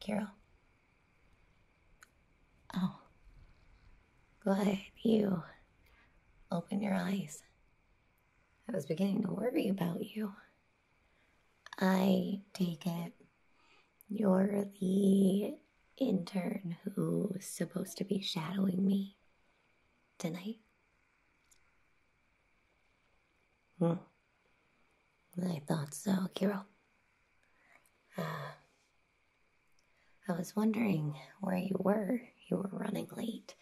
Carol. Oh, Glad you opened your eyes. I was beginning to worry about you. I take it you're the intern who's supposed to be shadowing me tonight. Hmm. I thought so, Kiro. Uh, I was wondering where you were. You were running late.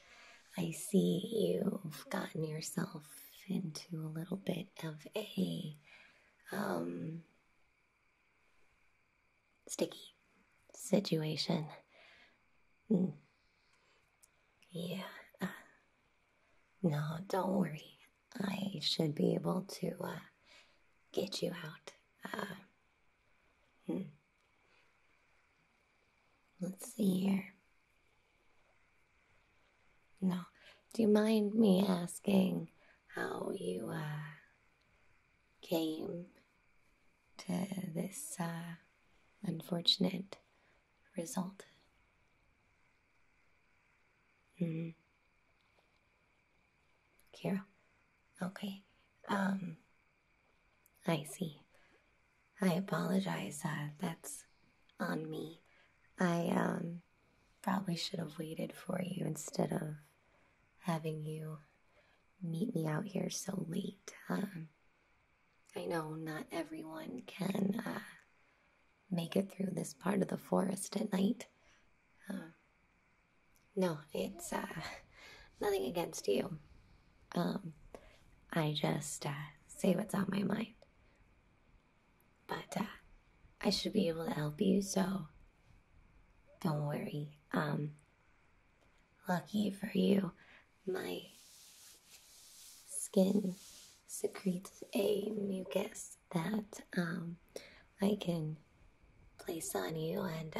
I see you've gotten yourself into a little bit of a um, sticky situation. Hmm. Yeah. Uh, no, don't worry. I should be able to uh, get you out. Uh, hmm. Let's see here. No. Do you mind me asking how you uh, came to this uh, unfortunate result? hmm Kira. Okay. Um, I see. I apologize. Uh, that's on me. I um, probably should have waited for you instead of having you meet me out here so late. Um, I know not everyone can uh, make it through this part of the forest at night. Uh, no, it's uh, nothing against you. Um, I just uh, say what's on my mind. But uh, I should be able to help you, so don't worry. Um, lucky for you, my skin secretes a mucus that um, I can place on you, and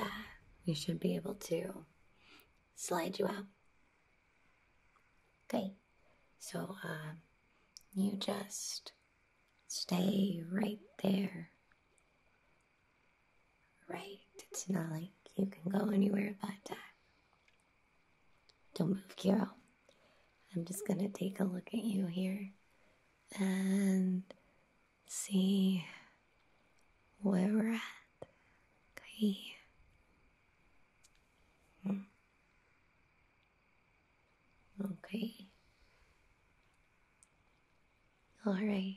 you should be able to slide you out. Okay, so um, you just stay right there. Right, it's not like you can go anywhere but that. Don't move, Kiro. I'm just gonna take a look at you here and see where we're at. Okay. Hmm. Okay. All right.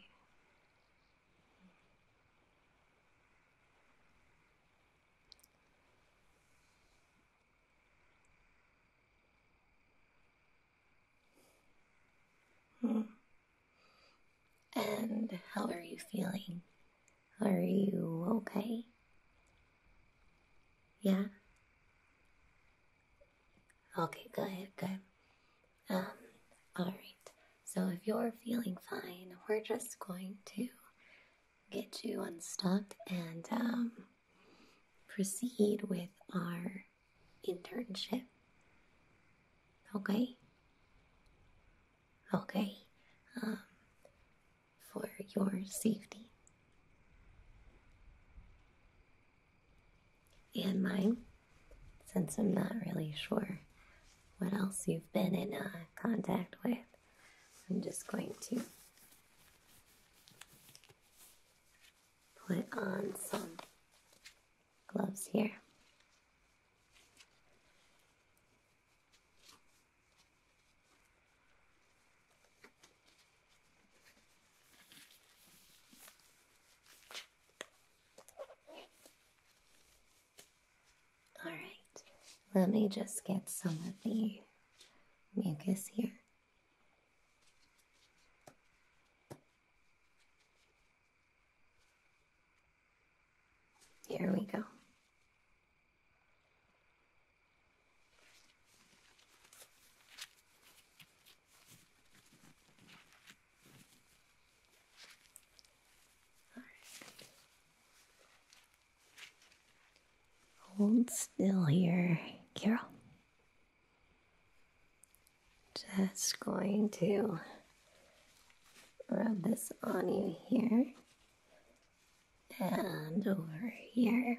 Hmm. And how are you feeling? Are you okay? Yeah? Okay, good, good. Um, alright. So if you're feeling fine, we're just going to get you unstuck and um, proceed with our internship. Okay? Okay. Um, for your safety. And mine, since I'm not really sure what else you've been in uh, contact with, I'm just going to put on some gloves here. All right, let me just get some of the mucus here. Here we go. Hold still here, Carol just going to rub this on you here and over here.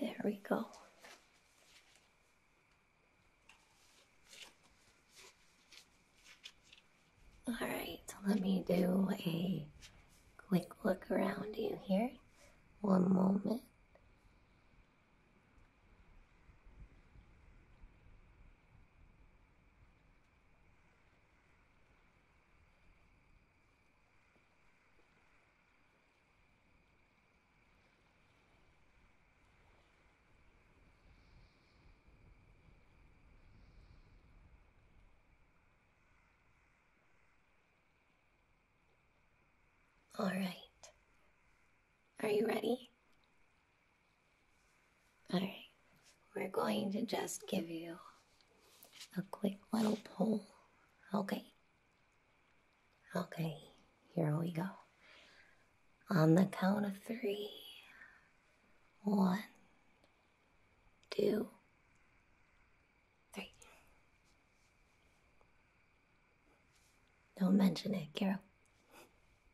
There we go. All right, so let me do a quick look around you here. One moment. All right. Are you ready? Alright, we're going to just give you a quick little pull. Okay. Okay, here we go. On the count of three. One, two, three. Don't mention it, Carol.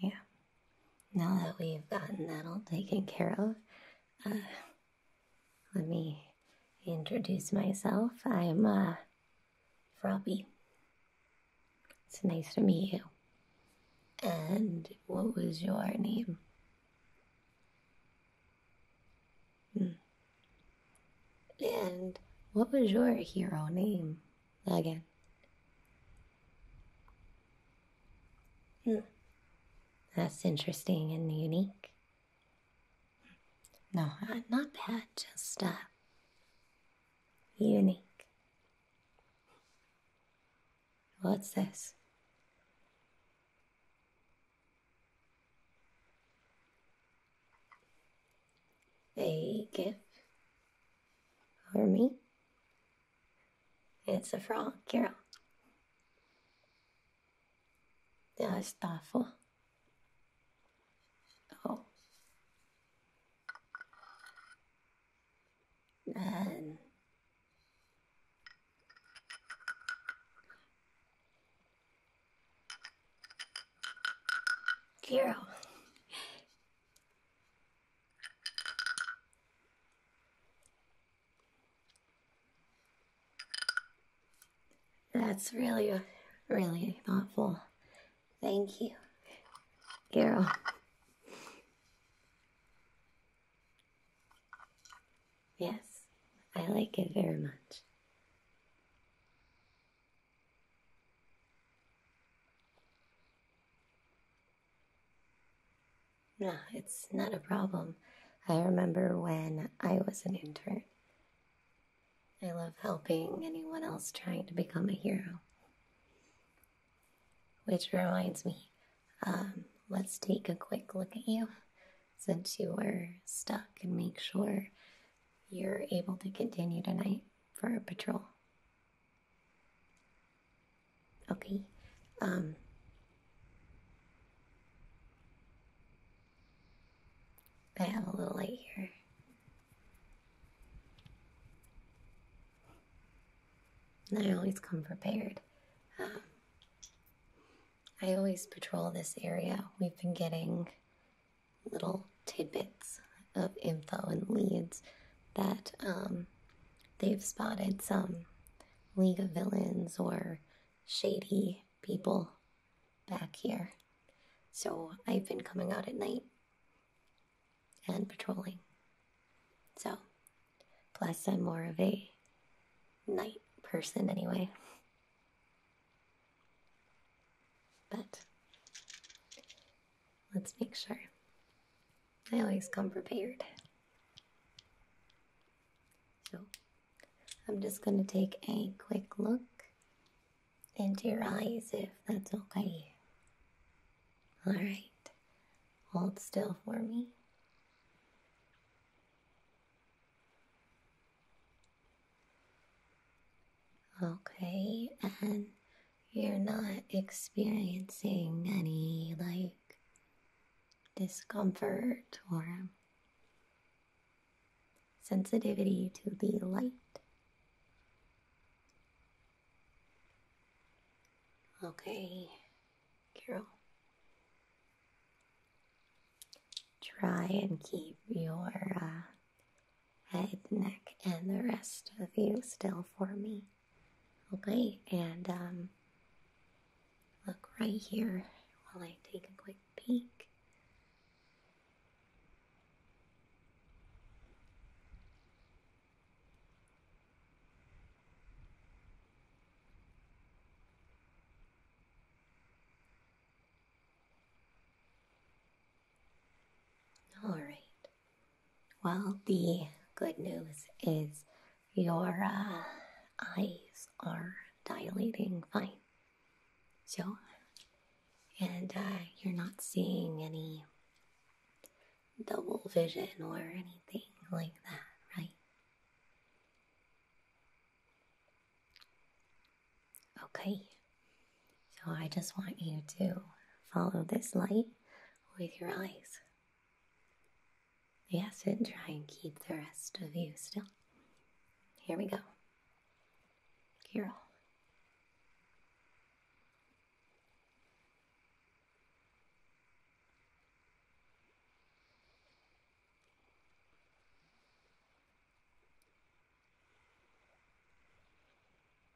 Yeah. Now that we've gotten that all taken care of, uh, let me introduce myself. I'm uh, Robbie. It's nice to meet you. And what was your name? Hmm. And what was your hero name? again. Hmm. That's interesting and unique. No, not bad, just uh, unique. What's this? A gift for me? It's a frog, Carol. Ja, ist davor. Oh. Nein. Carol, that's really, really thoughtful. Thank you, Carol. Yes, I like it very much. No, it's not a problem. I remember when I was an intern. I love helping anyone else trying to become a hero. Which reminds me, um, let's take a quick look at you since you are stuck and make sure you're able to continue tonight for a patrol. Okay. Um, I have a little light here. And I always come prepared. Um, I always patrol this area. We've been getting little tidbits of info and leads that um, they've spotted some League of Villains or shady people back here. So I've been coming out at night and patrolling. So, plus, I'm more of a night person anyway. But Let's make sure. I always come prepared. So I'm just going to take a quick look into your eyes if that's okay. Alright. Hold still for me. Okay, and you're not experiencing any like discomfort or sensitivity to the light. Okay, Carol. Try and keep your uh, Head, neck, and the rest of you still for me. Okay, and um, look right here while I take a quick peek. All right. Well, the good news is your uh, eyes are dilating fine. So, and uh, you're not seeing any double vision or anything like that, right? Okay. So, I just want you to follow this light with your eyes. Yes, and try and keep the rest of you still. Here we go. Carol.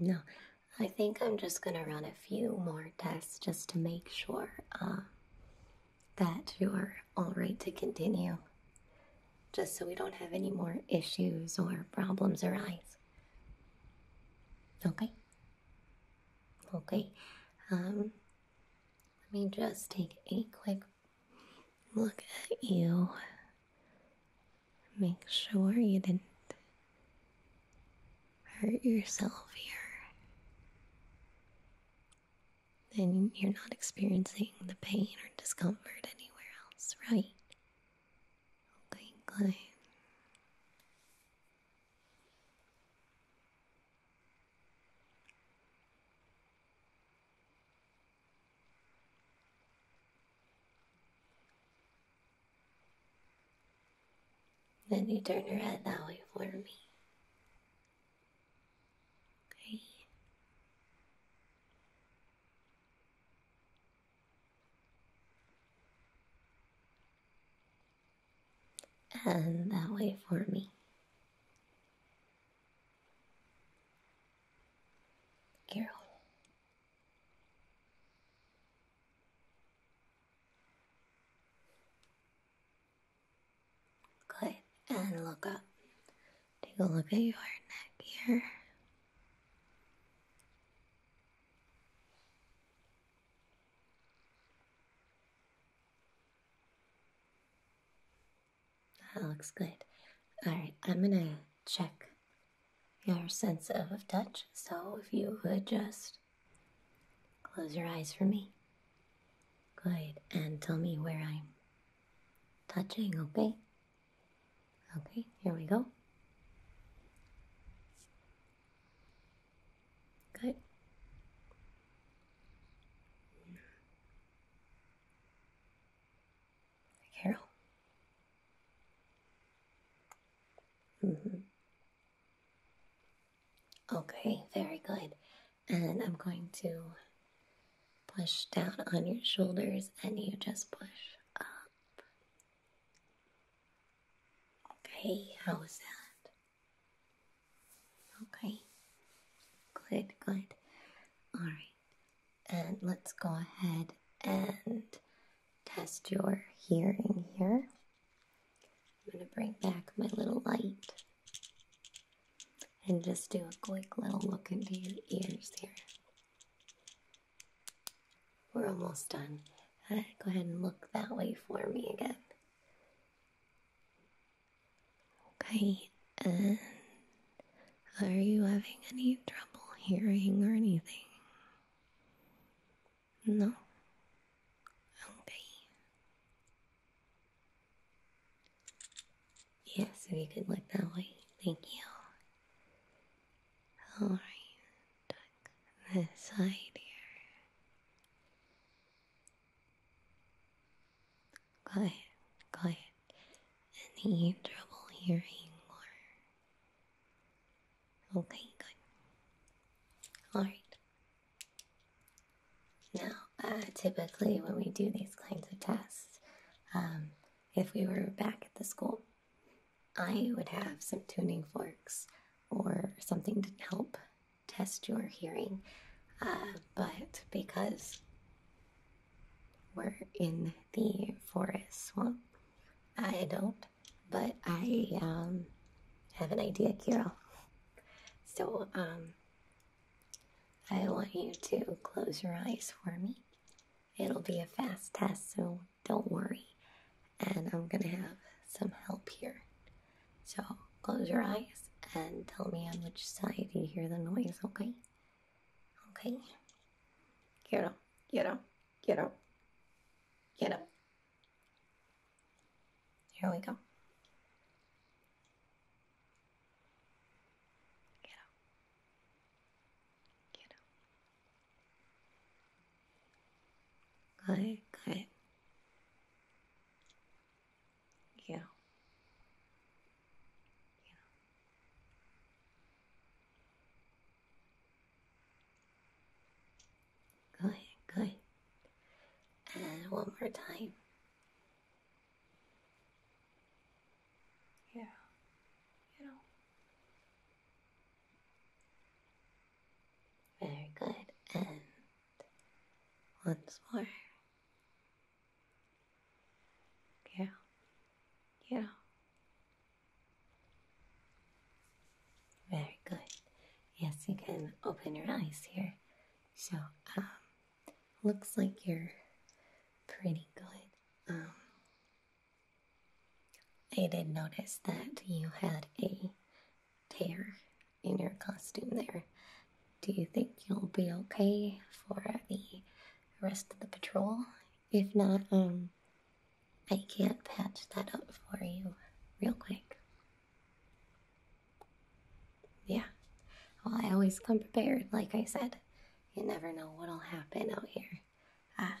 No, I think I'm just gonna run a few more tests just to make sure uh, that you're all right to continue. Just so we don't have any more issues or problems arise. Okay. Okay. Um, let me just take a quick look at you. Make sure you didn't hurt yourself here. And you're not experiencing the pain or discomfort anywhere else, right? Okay. going. Then you turn your head that way for me. Okay. And that way for me. Carol. Good. And look up. Take a look at your neck here. That looks good. Alright, I'm gonna check your sense of touch, so if you would just close your eyes for me. Good, and tell me where I'm touching, okay? Okay, here we go. Good. Carol. Mm-hmm. Okay, very good. And I'm going to push down on your shoulders and you just push up Okay, how was that? Okay, good, good. Alright, and let's go ahead and test your hearing here. I'm going to bring back my little light and just do a quick little look into your ears here. We're almost done. Uh, go ahead and look that way for me again. Okay, are you having any trouble hearing or anything? No? Okay. Yes, if you can look that way. Thank you. Alright, this side here. Quiet, quiet. Any trouble hearing or okay, good. Alright. Now, uh, typically when we do these kinds of tests, um, if we were back at the school, I would have some tuning forks or something to help test your hearing. Uh, but because we're in the forest swamp, I don't. But I um, have an idea, Carol. So um, I want you to close your eyes for me. It'll be a fast test, so don't worry. And I'm gonna have some help here. So close your eyes and tell me on which side you hear the noise, okay? Okay. Get up, get up, get up, get up. Here we go. Get up you know. Got it, got it. Yeah. Yeah. Good, good. And one more time. Yeah. You know. Very good. And once more. yeah, yeah. Very good. Yes, you can open your eyes here. So, um, looks like you're pretty good. Um, I did notice that you had a tear in your costume there. Do you think you'll be okay for the rest of the patrol? If not, um, I can't patch that up for you real quick. Yeah. Well, I always come prepared, like I said. You never know what'll happen out here. Ah,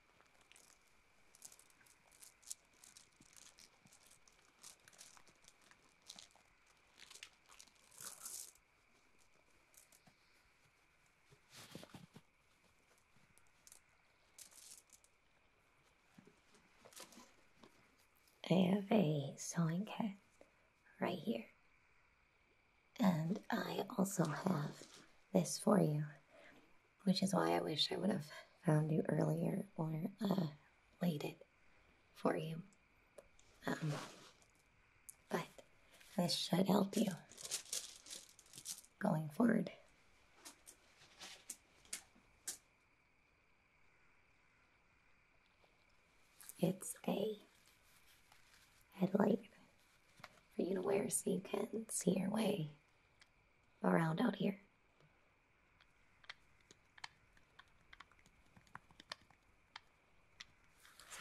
I have a sewing kit right here. And I also have this for you which is why I wish I would have found you earlier or uh, mm. waited for you. Um, but this should help you going forward. It's a headlight for you to wear so you can see your way around out here.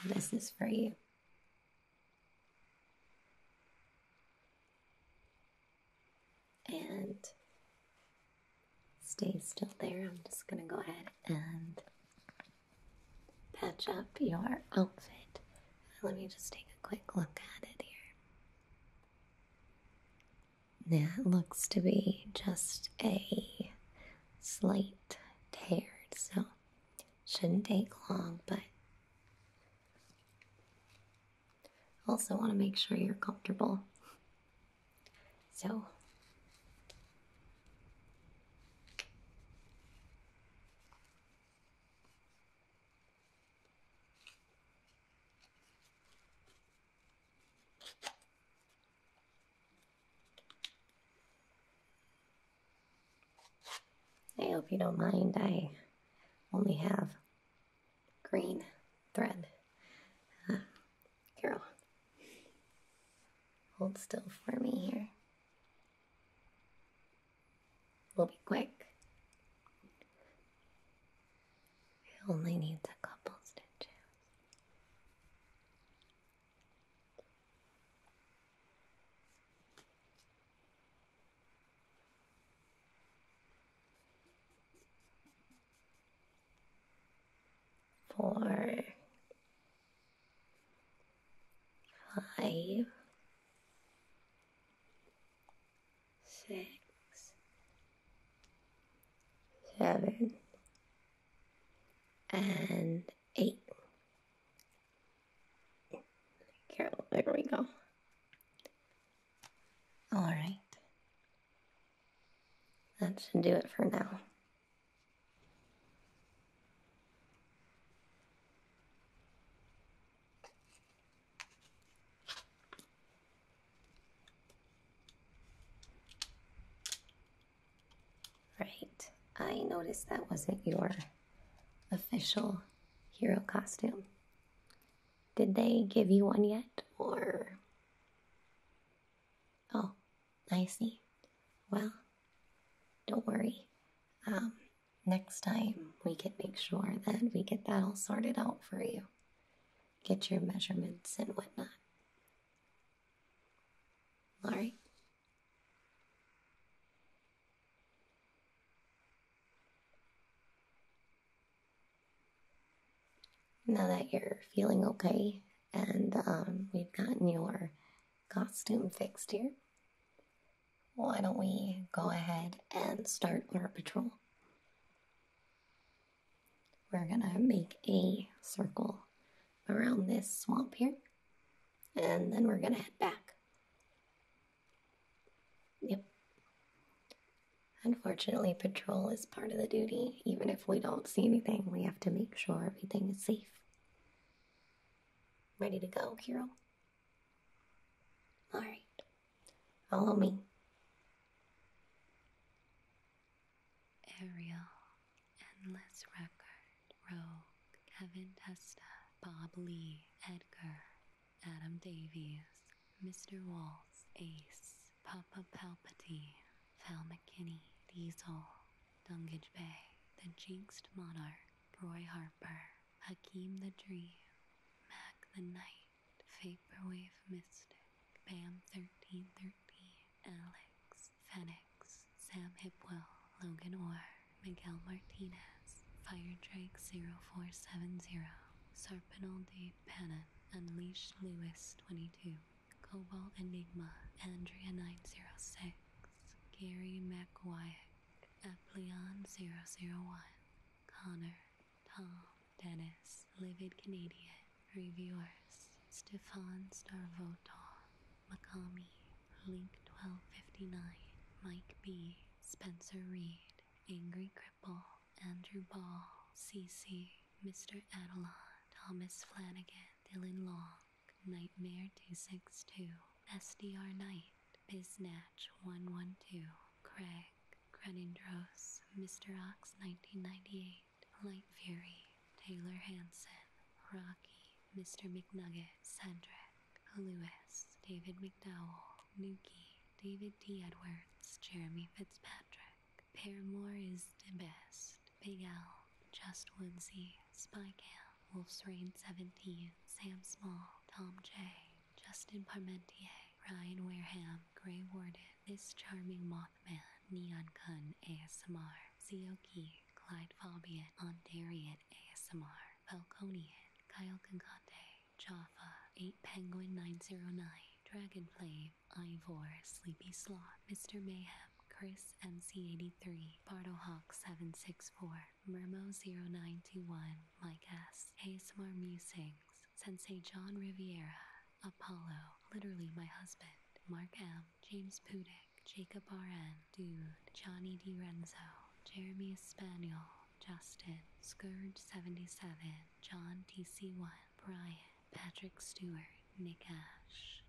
this is for you. And stay still there. I'm just going to go ahead and patch up your outfit. Let me just take a quick look at it here. That looks to be just a slight tear, so shouldn't take long, but also want to make sure you're comfortable. So I hope you don't mind. I only have green thread. Uh, Carol, hold still for me here. We'll be quick. It only needs a couple stitches. Four, five, six, seven, and eight. Carol, there we go. All right. That should do it for now. Right. I noticed that wasn't your official hero costume. Did they give you one yet? Or. Oh, I see. Well, don't worry. Um, next time we can make sure that we get that all sorted out for you. Get your measurements and whatnot. All right. Now that you're feeling okay and um, we've gotten your costume fixed here, why don't we go ahead and start our patrol? We're gonna make a circle around this swamp here, and then we're gonna head back. Yep. Unfortunately, patrol is part of the duty. Even if we don't see anything, we have to make sure everything is safe. Ready to go, Kiro? All right, follow me. Ariel, Endless Record, Rogue, Kevin Testa, Bob Lee, Edgar, Adam Davies, Mr. Walls, Ace, Papa Palpatine, Val McKinney, Diesel, Dungage Bay, The Jinxed Monarch, Roy Harper. Hakeem the Dream, Mac the Knight, Vaporwave Mystic, Bam1313, Alex, Fenix, Sam Hipwell, Logan Orr, Miguel Martinez, Fire Drake 470 Sarpinal de Pannon, Unleashed Lewis 22, Cobalt Enigma, Andrea 906, Gary McWyatt, Apleon 001, Connor, Tom, Dennis, Livid Canadian, Reviewers, Stefan Starvotor, Makami, Link1259, Mike B, Spencer Reed, Angry Cripple, Andrew Ball, CC, Mr. Adelon, Thomas Flanagan, Dylan Long, Nightmare262, SDR Knight, Biznatch 112, Craig, Credendros, Mr. Ox 1998, Light Fury, Taylor Hanson, Rocky, Mr. McNugget, Sandrick Lewis, David McDowell, Nuki, David D. Edwards, Jeremy Fitzpatrick. Paramore is the best. Big Al, Just Woodsy, Spy Camp, Wolf's Rain 17, Sam Small, Tom J, Justin Parmentier, Ryan Wareham, Grey Warden, This Charming Mothman, Neon Kun ASMR, Zioki, Clyde Fabian, Ontarian ASMR, Falconian, Kyle Kankate, Jaffa, 8 Penguin 909, Dragonflame, Ivor, Sleepy Sloth, Mr. Mayhem, Chris MC83, Hawk 764 Mermo091, Mike S, ASMR Musings, Sensei John Riviera, Apollo, literally my husband, Mark M, James Pudick, Jacob RN, Dude, Johnny Renzo. Jeremy Espanol, Justin, Scourge77, John TC1, Brian, Patrick Stewart, Nick Ash.